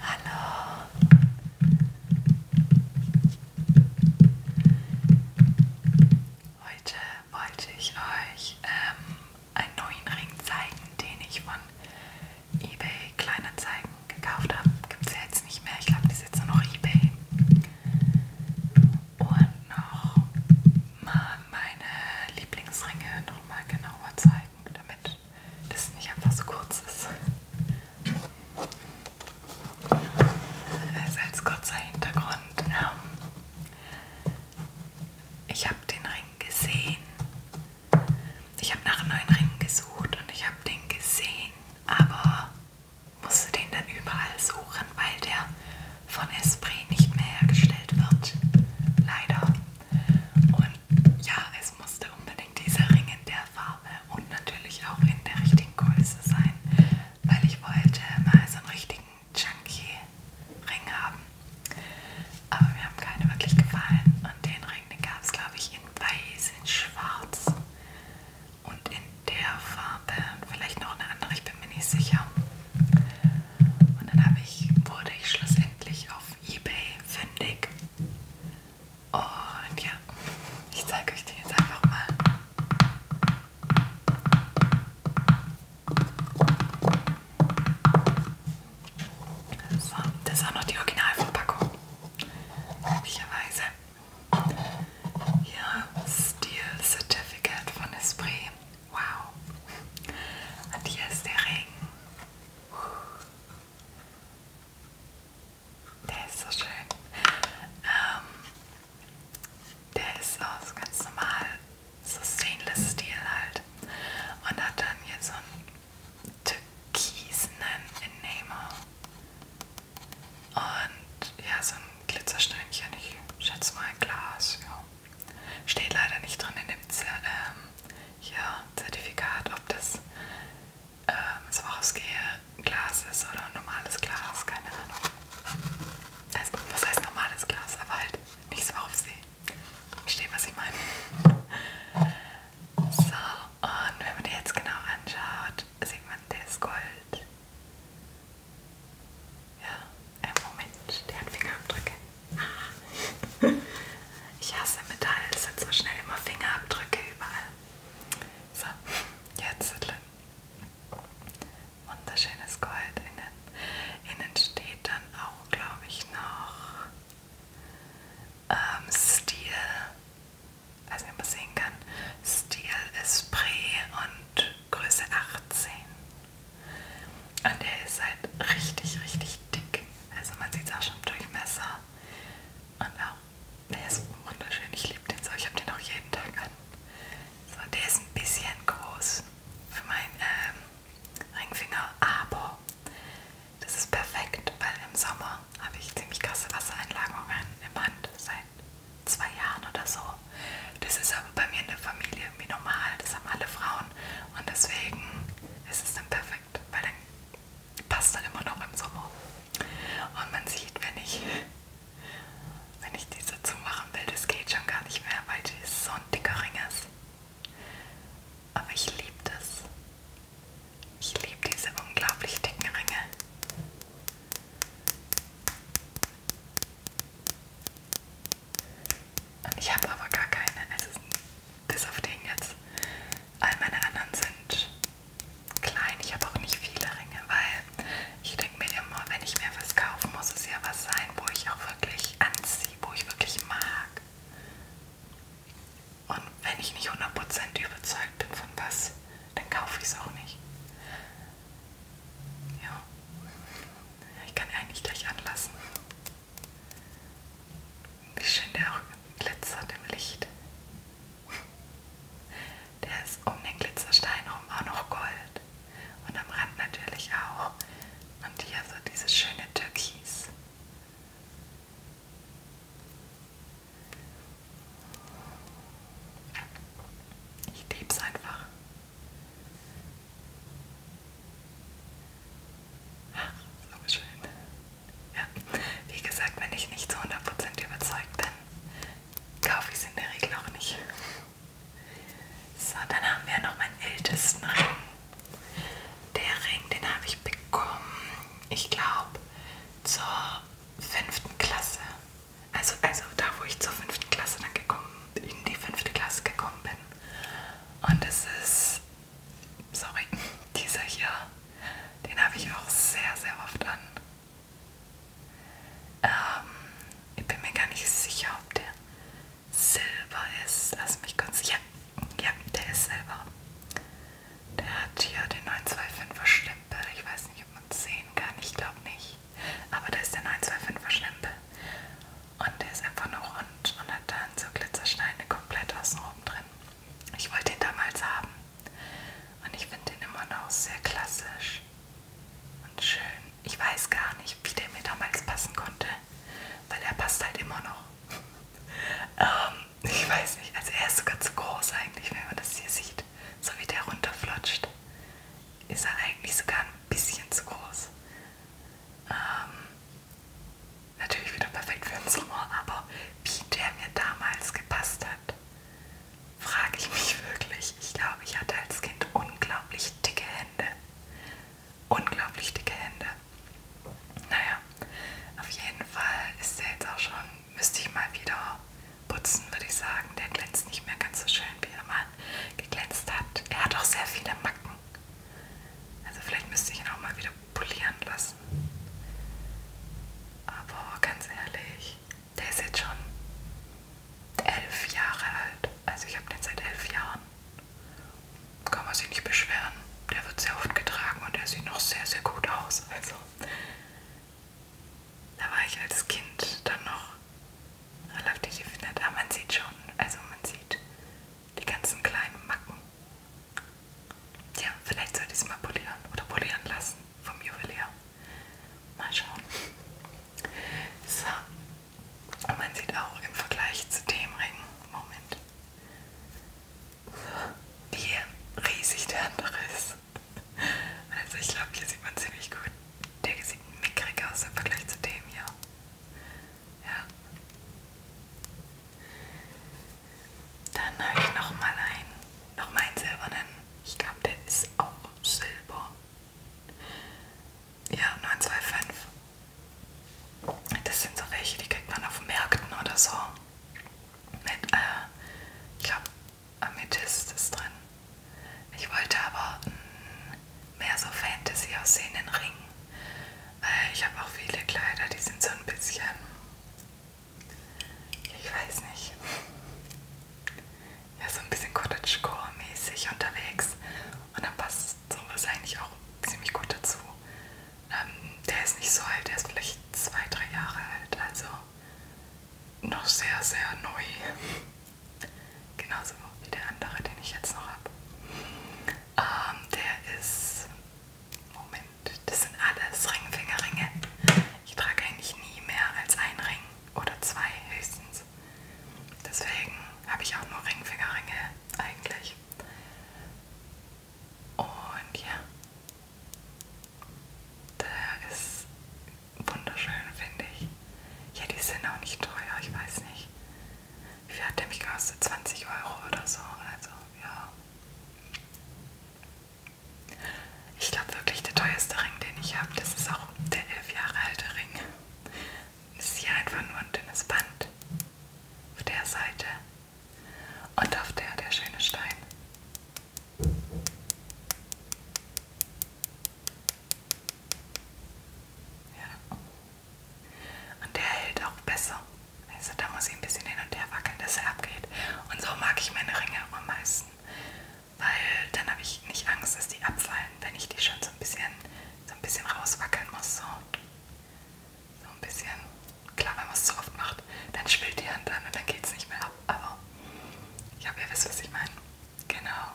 Hallo. Heute wollte ich euch ähm, einen neuen Ring zeigen, den ich von eBay Kleinanzeigen gekauft habe. Gibt es ja jetzt nicht mehr. Ich glaube, das ist jetzt nur noch eBay. Und noch mal meine Lieblingsringe nochmal genauer zeigen, damit damit das nicht einfach so kurz ist. Also als kurzer Hintergrund, ähm, ich habe den Ring gesehen. Ich habe nach einem neuen Ring gesucht und ich habe den gesehen, aber musste den dann überall suchen, weil der von Esprit nicht mehr hergestellt wird. Leider. Und ja, es musste unbedingt dieser Ring in der Farbe und natürlich auch in der richtigen Größe sein, weil ich wollte mal so einen richtigen Chunky-Ring haben. Aber mir haben keine wirklich gefallen und den Ring, den gab es glaube ich in weiß, in schwarz und in der Farbe und vielleicht noch eine andere, ich bin mir nicht sicher. Und dann habe ich, wurde ich schlussendlich auf Ebay fündig. Und ja, ich zeige euch den jetzt einfach mal. So, das ist auch noch die Originalverpackung. Möglicherweise. Ja, Steel Certificate von Esprit. Wow. Und hier ist der Regen. Der ist so schön. Ähm, der ist aus ganz normal, so stainless Steel halt. Und hat dann hier so einen türkisenen Enamel. Und ja, so ein Glitzersteinchen. Ich schätze mal Glas, ja. Steht leider nicht drin in dem Z ähm, hier Zertifikat, ob das ähm, so Glas ist oder normales Glas, keine Ahnung. Also, was heißt normales Glas? Aber halt nicht so aufsehen. Verstehe, was ich meine. So, und wenn man die jetzt genau anschaut, sieht man, der ist Gold. Ja, äh, Moment, der hat Fingerabdrücke. ich hasse Metall, es sind so schnell immer Fingerabdrücke überall. So, jetzt wunderschönes Gold innen. Innen steht dann auch, glaube ich, noch ähm, Stil. Also wie man sehen kann, Stil ist Pre und Größe 18. Und der ist halt richtig, richtig dick. Also man sieht es auch schon im Durchmesser. Und auch, der ist wunderschön. Ich liebe den so. Ich habe den auch jeden Tag an. So, der ist ein bisschen groß für meinen ähm, Ringfinger, aber das ist perfekt, weil im Sommer habe ich ziemlich krasse Wassereinlagerungen im Hand seit zwei Jahren oder so. Das ist aber bei mir in der Familie irgendwie normal. Das haben alle Frauen. Ton. Und deswegen ist es dann perfekt, weil dann passt er immer noch im Sommer. Und man sieht, wenn ich, wenn ich diese zumachen will, das geht schon gar nicht mehr, weil das so ein dicker Ring ist. Aber ich liebe das. Ich liebe diese unglaublich dicken Ringe. Und ich habe aber gar keine. Es also, ist bis auf den jetzt. All meine anderen sind klein. Ich habe auch nicht viele Ringe, weil ich denke mir immer, wenn ich mir was kaufe, muss es ja was sein, wo ich auch wirklich anziehe, wo ich wirklich mag. Und wenn ich nicht 100% überzeugt bin von was, dann kaufe ich es auch nicht. Ja. Ich kann eigentlich gleich anlassen. Wie schön der auch glitzert im Licht. Der ist um den Glitzerstein rum auch noch Gold. Und am Rand natürlich auch. Und hier so dieses schöne Türkis. Ich lieb's einfach. Ach, so schön. Ja, wie gesagt, wenn ich nicht zu 100% überzeugt bin, kaufe ich es in der Regel auch nicht. So, dann haben wir noch meinen ältesten Ring. Der Ring, den habe ich bekommen, ich glaube, zur fünften Klasse. Also, also da, wo ich zur fünften Klasse dann gekommen, in die fünfte Klasse gekommen bin. Und es ist, sorry, dieser hier, den habe ich auch sehr, sehr oft an. Ähm, ich bin mir gar nicht sicher, ob der silber ist. Lass mich kurz, ja, ja, der ist silber. Der hat hier den 925er Stempel. Ich weiß nicht, ob man es sehen kann. Ich glaube nicht. Aber da ist der 925er Stempel. Und der ist einfach nur rund und hat dann so Glitzersteine komplett außen oben drin. Ich wollte ihn damals haben. Und ich finde den immer noch sehr klassisch und schön. Ich weiß gar nicht, wie der mir damals passen konnte, weil er passt halt immer noch. ähm, ich weiß nicht, also er ist sogar zu groß eigentlich, wenn man das hier sieht. So wie der runterflutscht, ist er eigentlich sogar ein bisschen zu groß. Ähm, natürlich wieder perfekt für den Sommer, aber wie der mir damals gepasst hat, frage ich mich wirklich. Ich glaube, ich hatte als Kind unglaublich dicke Hände. Unglaublich dicke Hände. Naja, auf jeden Fall ist der jetzt auch schon, müsste ich mal wieder putzen, würde ich sagen. Der glänzt nicht mehr ganz so schön wie immer geglänzt hat. Er hat auch sehr viele Macken. Also vielleicht müsste ich ihn auch mal wieder polieren lassen. Aber ganz ehrlich, der ist jetzt schon elf Jahre alt. Also ich habe den seit elf Jahren. Kann man sich nicht beschweren. Der wird sehr oft getragen und der sieht noch sehr, sehr gut aus. Also da war ich als Kind dann noch da läuft durch die Findet. Ah, man sieht schon, also man sieht die ganzen kleinen Macken. Tja, vielleicht sollte ich es mal polieren oder polieren lassen vom Juwelier. Mal schauen. So. Und man sieht auch im Vergleich zu dem Ring, Moment, wie riesig der andere ist. Also ich glaube, hier sieht man ziemlich gut. Der sieht mickrig aus im Vergleich zu dem hier. Ja. Dann habe ich nochmal einen, nochmal einen silbernen. Ich glaube, der ist auch silber. Ja, 925. Das sind so welche, die kriegt man auf Märkten oder so. Mit, äh, ich glaube, Amethyst ist drin. Ich wollte aber mm, mehr so Fantasy aussehenden Ring. Ich habe auch viele Kleider, die sind so ein bisschen. Ich weiß nicht. Ja, so ein bisschen Cottagecore-mäßig unterwegs. Und dann passt sowas eigentlich auch ziemlich gut dazu. Ähm, der ist nicht so alt, der ist vielleicht zwei, drei Jahre alt. Also noch sehr, sehr neu. Genauso wie der andere, den ich jetzt noch habe. Ähm, der ist. Moment, das sind alles Ringfingerringe. Ich trage eigentlich nie mehr als ein Ring oder zwei höchstens. Deswegen habe ich auch nur Ringfingerringe eigentlich. Und ja, der ist wunderschön, finde ich. Ja, die sind auch nicht teuer, ich weiß nicht. Wie viel hat der mich gekostet? 20 Euro oder so, also ja. Ich glaube wirklich, der teuerste Ring, den ich habe, das ist auch der elf Jahre alte Ring. Das ist hier einfach nur ein dünnes Band. Auf der Seite. Und auf der der schöne Stein. Ja. Und der hält auch besser. Also da muss ich ein bisschen hin und her wackeln, dass er abgeht. Und so mag ich meine Ringe am meisten. Weil dann habe ich nicht Angst, dass die abfallen, wenn ich die schon so ein bisschen, so ein bisschen rauswackeln muss. So, so ein bisschen. Klar, wenn man es zu oft macht, dann schwillt die Hand an und dann geht es nicht mehr ab. Aber ich habe ihr wisst, was ich meine. Genau.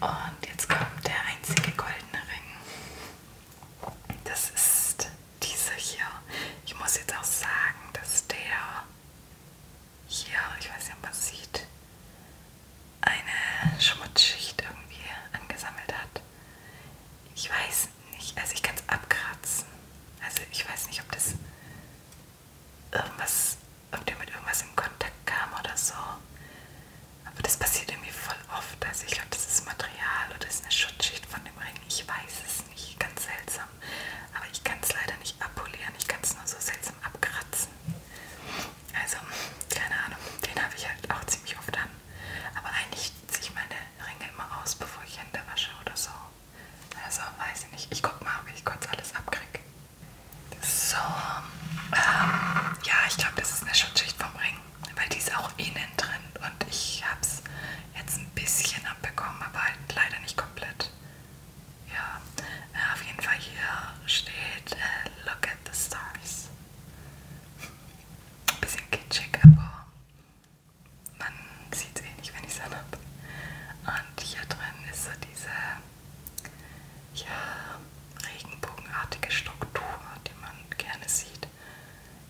Und jetzt kommt der einzige goldene Ring. Das ist dieser hier. Ich muss jetzt auch sagen, dass der hier, ich weiß nicht, ob man es sieht, eine Schmutzschicht irgendwie angesammelt hat. Ich weiß nicht, also ich kann es abkratzen. Also ich weiß nicht, ob das irgendwas, ob der mit irgendwas in Kontakt kam oder so. Aber das passiert irgendwie voll oft. Also ich glaube, das ist Material oder ist eine Schutzschicht von dem Ring. Ich weiß es nicht. Ganz seltsam. Aber ich kann es leider nicht abpolieren. Ich kann es nur so seltsam abkratzen. Also, keine Ahnung. Den habe ich halt auch ziemlich oft an. Aber eigentlich ziehe ich meine Ringe immer aus, bevor ich Hände wasche oder so. Also weiß ich nicht. Ich guck mal, ob ich kurz alles abkriege. So, ähm, ja, ich glaube, das ist eine Schutzschicht vom Ring, weil die ist auch innen drin und ich habe es jetzt ein bisschen abbekommen, aber halt leider nicht komplett. Ja, äh, auf jeden Fall hier steht äh, Look at the Stars. Ein bisschen kitschig, aber man sieht es eh nicht, wenn ich es habe. Und hier drin ist so diese ja, regenbogenartige Struktur, die man gerne sieht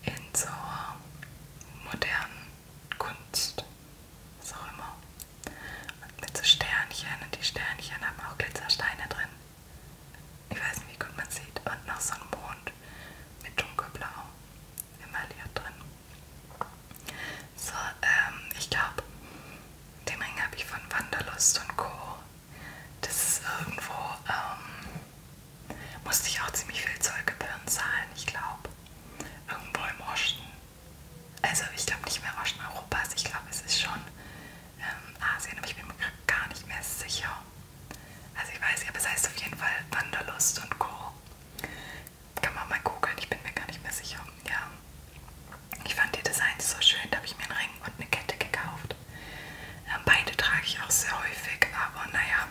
in so modernen Kunst. Was auch immer. Und mit so Sternchen und die Sternchen haben auch Glitzersteine drin. Ich weiß nicht, wie gut man sieht. Und noch so ein Mond mit dunkelblau. Immer hier drin. So, ähm, ich glaube, den Ring habe ich von Wanderlust und Co. Das ist irgendwo, ähm, musste ich auch ziemlich viel Zollgebühren zahlen, ich glaube. Irgendwo im Osten. Also ich glaube nicht mehr Osten Europas, ich glaube es ist schon ähm, Asien, aber ich bin mir gar nicht mehr sicher. Also ich weiß nicht, aber es heißt auf jeden Fall Wanderlust und Co. Kann man mal googeln, ich bin mir gar nicht mehr sicher. Ja. Ich fand die Designs so schön, da habe ich mir einen Ring und eine Kette gekauft. Ähm, beide trage ich auch sehr häufig, aber naja,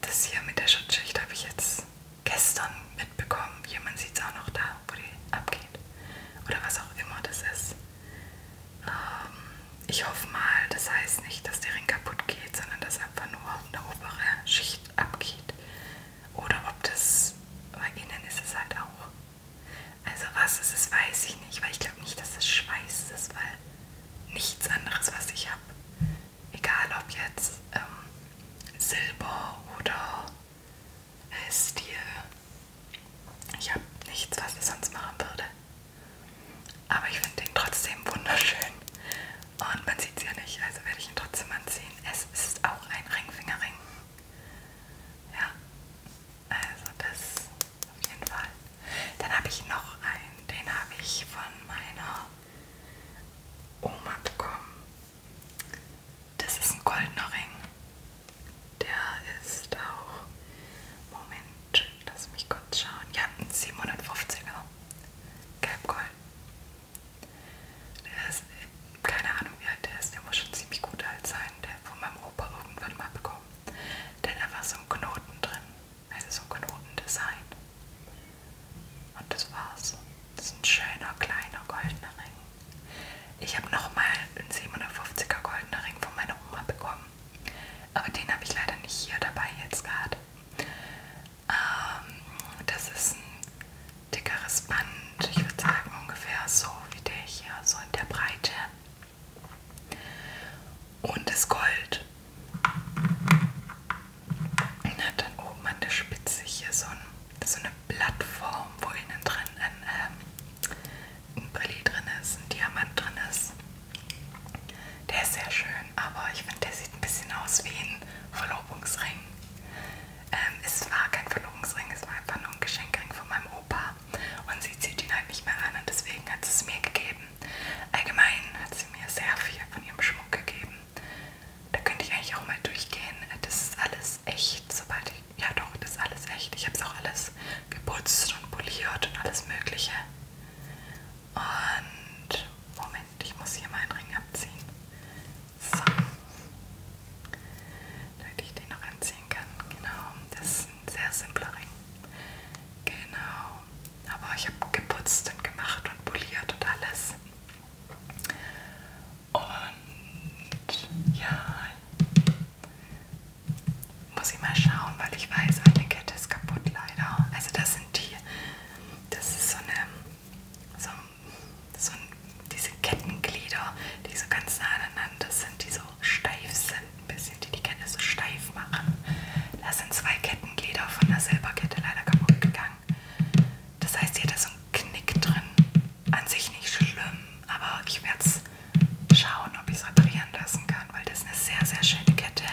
das hier mit der Schutzschicht habe ich jetzt gestern mitbekommen. Jemand sieht es auch noch da, wo die abgeht. Oder was auch immer das ist. Ähm, ich hoffe mal, das heißt nicht, dass der Ring kaputt geht, sondern dass einfach nur eine obere Schicht abgeht. Oder ob das bei ihnen ist es halt auch. Also was es ist, weiß ich nicht, weil ich glaube nicht, dass es Schweiß ist, weil nichts anderes, was ich habe, egal ob jetzt ähm, Silber oder äh, Stil, ich habe nichts, was ich sonst machen würde. Aber ich finde den trotzdem wunderschön. Und man sieht es ja nicht, also werde ich ihn trotzdem anziehen. Es ist auch ein Ringfingerring. Ja, also das auf jeden Fall. Dann habe ich noch einen, den habe ich von meiner Oma bekommen. Das ist ein goldener Ring. Der ist auch, Moment, lass mich kurz schauen. Ja, ein 750er. Gelbgold. Der ist, keine Ahnung wie alt der ist, der muss schon ziemlich gut alt sein, der hat von meinem Opa irgendwann mal bekommen. Denn da war so ein Knoten drin, also so ein Knotendesign. Und das war's. Das ist ein schöner, kleiner, goldener Ring. Ich habe nochmal einen 750er goldener Ring von meiner Oma bekommen. Aber den habe ich leider nicht hier dabei jetzt gerade. Ähm, das ist ein dickeres Band, ich würde sagen ungefähr so wie der hier, so in der Breite. Und das Gold. Und hat dann oben an der Spitze hier so, ein, so eine Plattform, wo innen drin ein, äh, ein Brilli drin ist, ein Diamant drin ist. Der ist sehr schön, aber ich finde, der sieht ein bisschen aus wie ein Verlobungsring. Ähm, es war kein Verlobungsring, es war einfach nur ein Geschenkring von meinem Opa. Und sie zieht ihn halt nicht mehr an und deswegen hat sie es mir gegeben. Allgemein hat sie mir sehr viel von ihrem Schmuck gegeben. Da könnte ich eigentlich auch mal durchgehen. Das ist alles echt, sobald ich... Ja doch, das ist alles echt. Ich habe es auch alles geputzt und poliert und alles mögliche. Und... Moment. Moment, halt, ich muss hier meinen Ring abziehen. So. Damit ich den noch anziehen kann. Genau, das ist ein sehr simpler Ring. Genau. Aber ich habe geputzt und gemacht und poliert und alles. Und ja, muss ich mal schauen, weil ich weiß, eine Kette ist kaputt leider. Also das sind die das ist so eine, so, so diese Kettenglieder, die so ganz nah aneinander sind, die so steif sind, ein bisschen, die die Kette so steif machen. Da sind zwei Kettenglieder von der Silberkette leider kaputt gegangen. Das heißt, hier hat so ein Knick drin. An sich nicht schlimm, aber ich werde es schauen, ob ich es reparieren lassen kann, weil das ist eine sehr, sehr schöne Kette.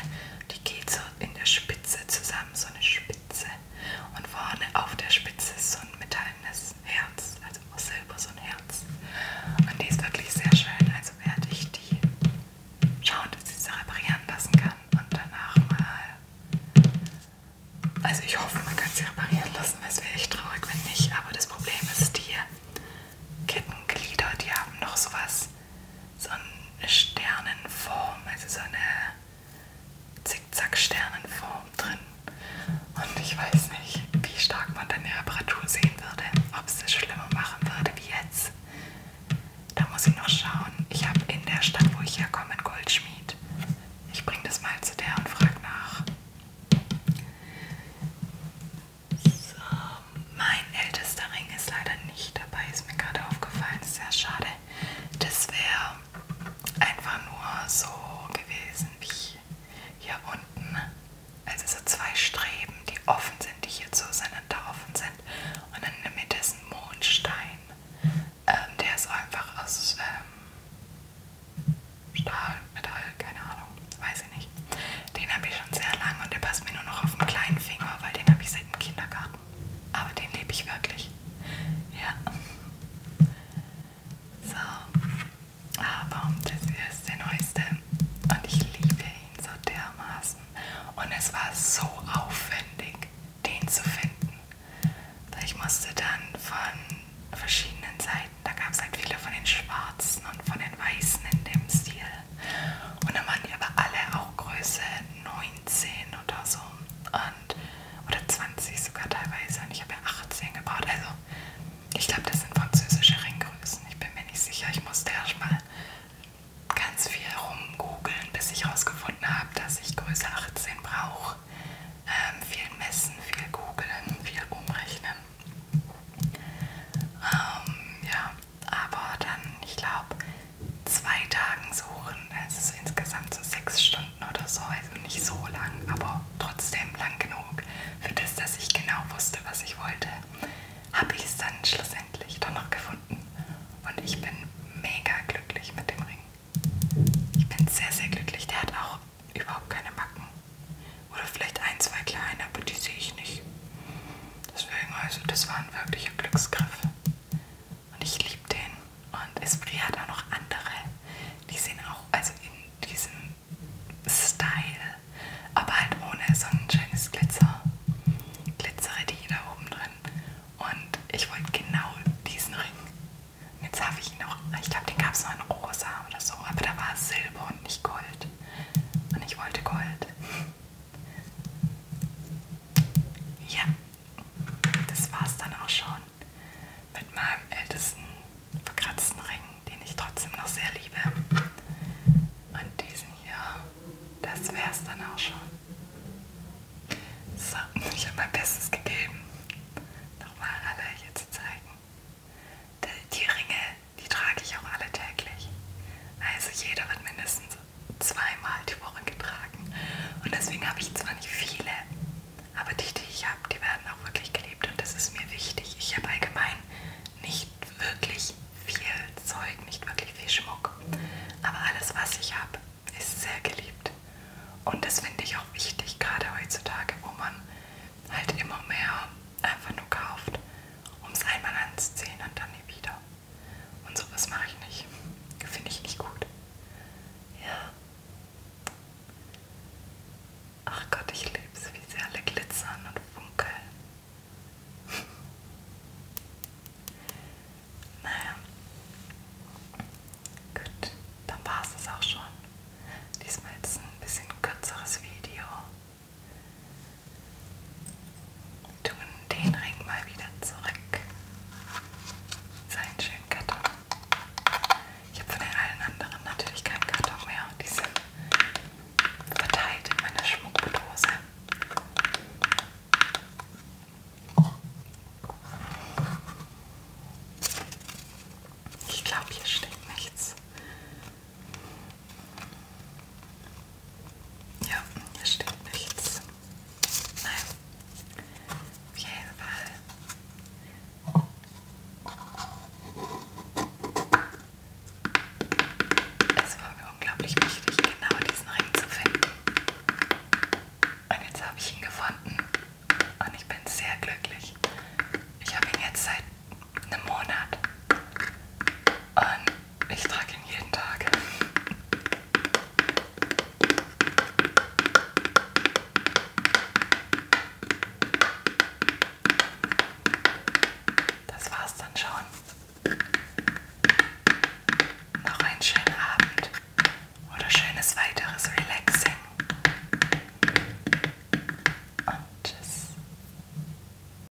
Die geht so in der Spitze zusammen, so eine Spitze. Und vorne auf der Spitze ist so ein metallenes Herz, also aus Silber so ein Herz. Und die ist wirklich sehr schön, also werde ich die schauen, dass ich sie reparieren lassen kann und danach mal... Also ich hoffe, man kann sie reparieren lassen, weil es wäre echt traurig, wenn nicht. Aber das Problem ist, die Kettenglieder, die haben noch sowas so eine Sternenform, also so eine Zickzack-Sternenform drin. Und ich weiß nicht, wie stark man dann die Reparatur sehen würde, ob es das schlimmer machen würde wie jetzt. Da muss ich noch schauen. Ich habe in der Stadt, wo ich herkomme, einen Goldschmied. Ich bringe das mal zu der und frage nach. So, mein ältester Ring ist leider nicht nicht dabei, ist mir gerade aufgefallen, ist sehr schade. Das wäre einfach nur so gewesen wie hier unten. Also so zwei Streben, die offen sind, die hier so auseinander offen sind. Und in der Mitte ist ein Mondstein. Ähm, der ist einfach aus ähm, Stahl, Metall, keine Ahnung, weiß ich nicht. Den habe ich schon sehr lange und der passt mir nur noch auf den kleinen Finger, weil den habe ich seit dem Kindergarten aber den liebe ich wirklich. Ja. So, aber das ist der neueste und ich liebe ihn so dermaßen. Und es war so aufwendig, den zu finden. Ich musste dann von verschiedenen Seiten, da gab es halt viele von den schwarzen und von den weißen in dem Stil und dann waren die aber alle auch Größe 19 oder so. Und, oder 20 sogar teilweise. Und ich habe ja 18 gebaut. Also, ich glaube, das sind französische Ringgrößen. Ich bin mir nicht sicher. Ich musste erstmal ganz viel rumgoogeln, bis ich herausgefunden habe, dass ich Größe 18 brauche. Ähm, viel messen, viel googeln, viel umrechnen. Ähm, ja, aber dann, ich glaube, zwei Tagen suchen. Also so insgesamt so sechs Stunden oder so. Also nicht so lang, aber trotzdem lang genug. Für das, dass ich genau wusste, was ich wollte, habe ich es dann schlussendlich doch noch gefunden. Und ich bin mega glücklich mit dem Ring. Ich bin sehr, sehr glücklich. Der hat auch überhaupt keine Macken. Oder vielleicht ein, zwei kleine, aber die sehe ich nicht. Deswegen, also das war ein wirklicher Glücksgriff. Und ich liebe den. Und Esprit hat auch noch andere. Die sind auch, also in diesem Style, aber halt ohne so ein schönes Glitzer. Glitzere die da oben drin. Und ich wollte genau diesen Ring. Und jetzt habe ich ihn noch, ich glaube, den gab es noch in rosa oder so, aber da war Silber und nicht Gold. Und ich wollte Gold. Ja, das war's dann auch schon mit meinem ältesten verkratzten Ring, den ich trotzdem noch sehr liebe. Und diesen hier, das wär's dann auch schon. So, ich habe mein Bestes gegeben, nochmal alle hier zu zeigen. Die Ringe, die trage ich auch alle täglich. Also jeder wird mindestens zweimal die Woche getragen. Und deswegen habe ich zwar nicht viele, aber die, die ich habe, die werden auch wirklich geliebt und das ist mir wichtig. Ich habe allgemein nicht wirklich viel Zeug, nicht wirklich viel Schmuck, aber alles, was ich habe, ist sehr geliebt. Und das finde ich auch wichtig, gerade heutzutage, wo man halt immer mehr einfach nur kauft, um es einmal anzuziehen und dann nie wieder. Und sowas mache ich nicht. Finde ich nicht gut. Ja. Ach Gott, ich liebe es, wie sie alle glitzern und funkeln. naja. Gut, dann war es das auch schon. Diesmal jetzt ein bisschen kürzeres Video. Tun den Ring mal wieder zurück. Seinen schönen Karton. Ich habe von den allen anderen natürlich keinen Karton mehr. Die sind verteilt in meiner Schmuckdose. Ich glaube, hier steckt nichts. Ja, hier steht nichts. Nein. Auf jeden Fall. Es war mir unglaublich wichtig, genau diesen Ring zu finden. Und jetzt habe ich ihn gefunden. Und ich bin sehr glücklich. Ich habe ihn jetzt seit einem Monat. Und ich trage ihn jeden Tag. Das war's dann schon. Noch einen schönen Abend oder schönes weiteres Relaxing. Und tschüss.